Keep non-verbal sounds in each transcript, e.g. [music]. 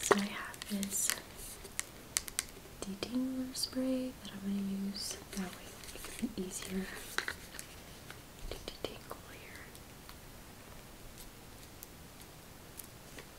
So I have this detangler spray that I'm going to use. That way it can be easier to detangle here.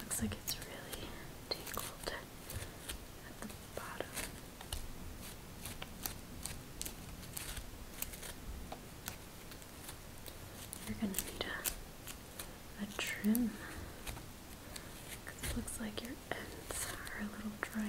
Looks like it's really tangled at the bottom. You're gonna need a, a trim it looks like your ends are a little dry.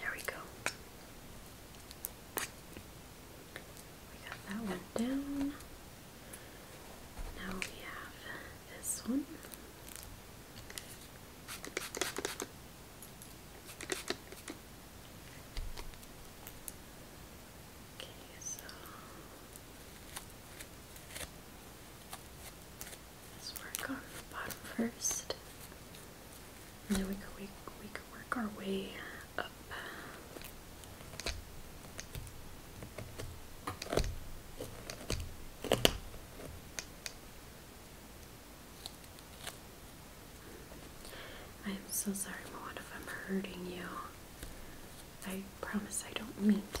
There we go. We got that one down. Now we have this one. Okay, so let's work on the bottom first. And then we could work our way up. I am so sorry, Moana, if I'm hurting you. I promise I don't mean to.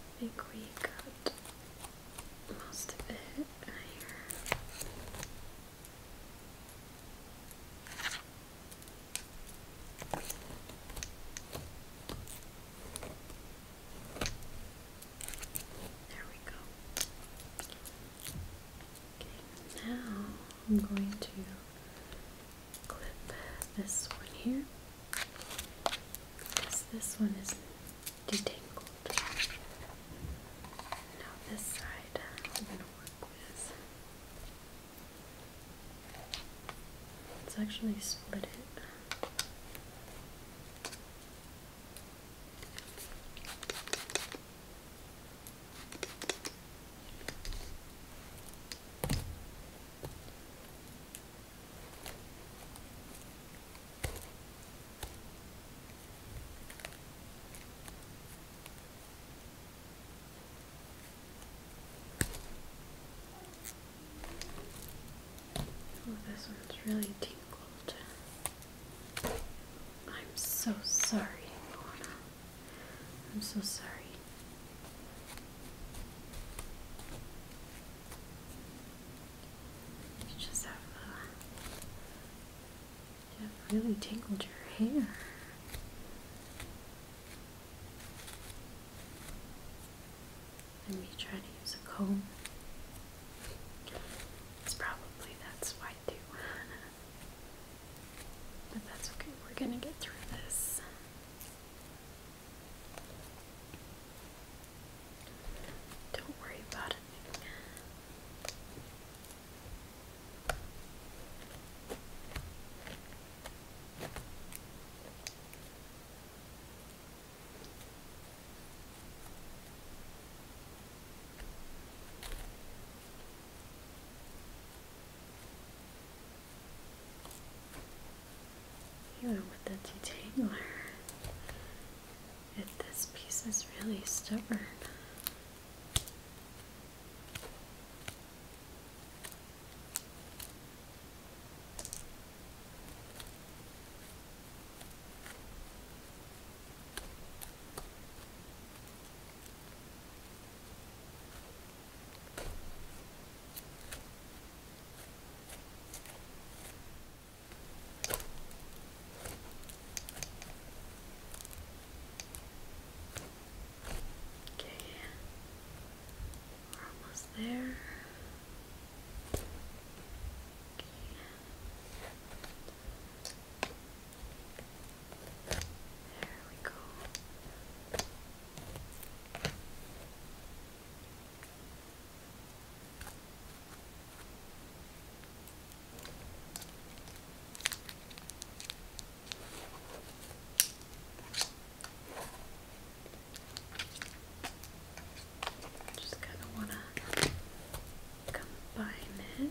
I think we got most of it There we go. Okay, now I'm going to clip this one here because this one is detangled. Now this side I'm going to work with. Let's actually split it. Oh, this one's really tingled. I'm so sorry, Lorna. I'm so sorry. You just have, uh, really tangled your hair. And me trying to use a comb. It's probably that's why too. [laughs] But that's okay, we're gonna get through this. Don't worry about it. Even with the detangler, if this piece is really stubborn. Okay, we're almost there. Okay. There we go. just kind of want to combine it.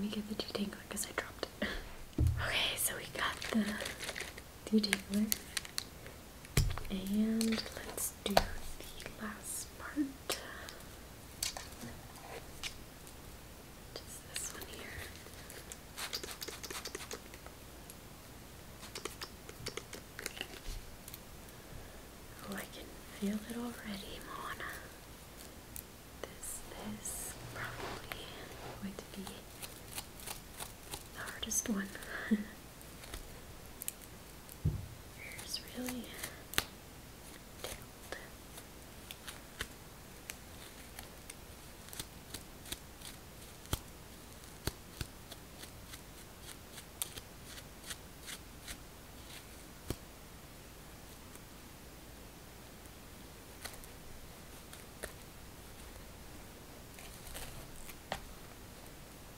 Let me get the two tangle because I dropped it. [laughs] okay, so we got the detailer. And let's do the last part. Just this one here. Oh, I can feel it already, Moana. This is probably going to be the hardest one. [laughs] hair is really tangled. Okay.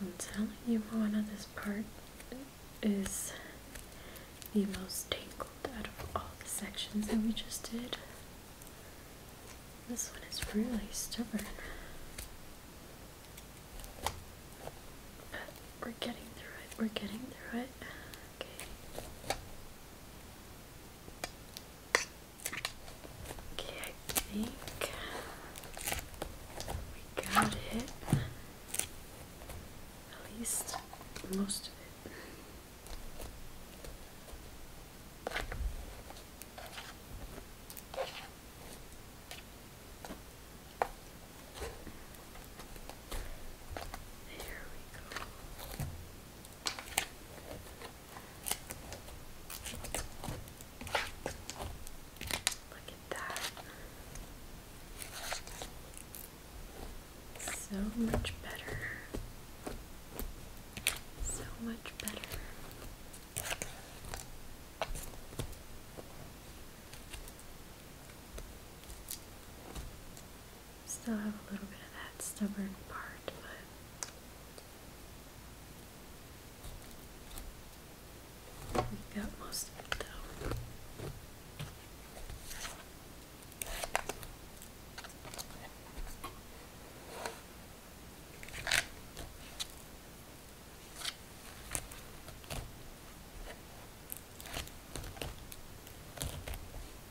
I'm telling you, one of this part is the most tangled out of all the sections that we just did. This one is really stubborn. we're getting through it, we're getting through it. Okay. Okay, I think we got it. At least most of it. There we go. Look at that. So much better. So much better. Still have a little bit of that stubborn part, but we got most of it though.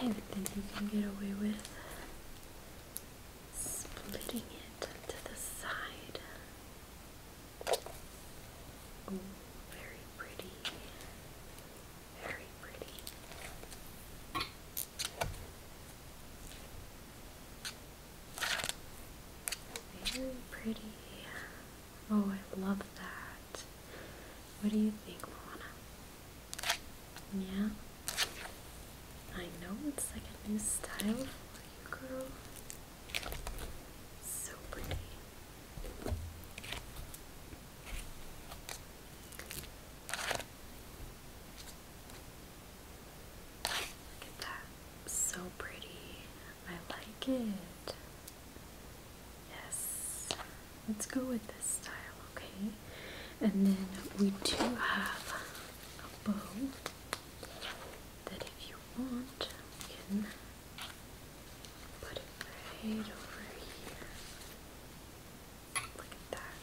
I don't think you can get away with splitting it to the side. very pretty. Very pretty. Very pretty. Oh, I love that. What do you think, Lana? Yeah? I know it's like a new style for you, girl. So pretty. Look at that. So pretty. I like it. Yes. Let's go with this style, okay? And then we do have a bow that if you want, we can put it right over here. Look at that.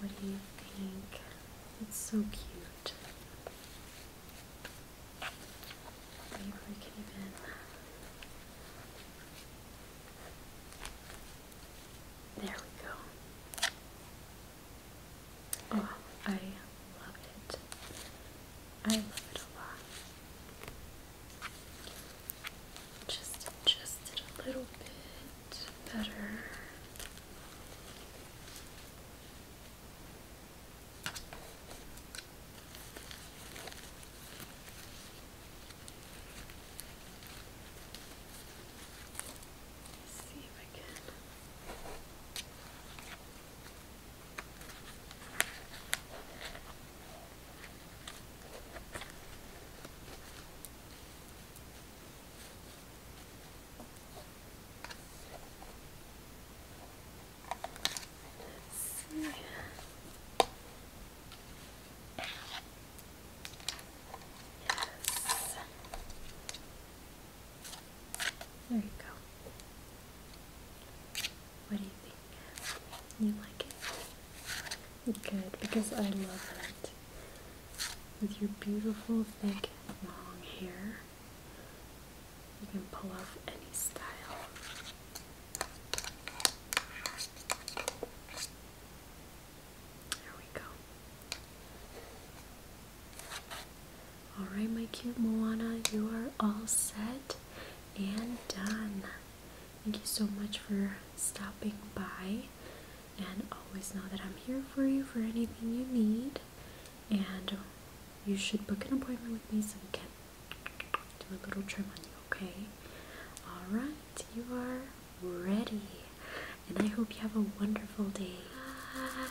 What do you think? It's so cute. Maybe we can even there we go. Oh, I love it. I love it a lot. Just adjust a little bit better. See if I can Let's see. Yes. There you go. What do you think? You like it? Good, because I love it. With your beautiful, thick, long hair, you can pull off any style. There we go. Alright, my cute Moana, you are all set and done. Thank you so much for stopping by. And always know that I'm here for you for anything you need. And you should book an appointment with me so we can do a little trim on you, okay? Alright, you are ready. And I hope you have a wonderful day. Bye.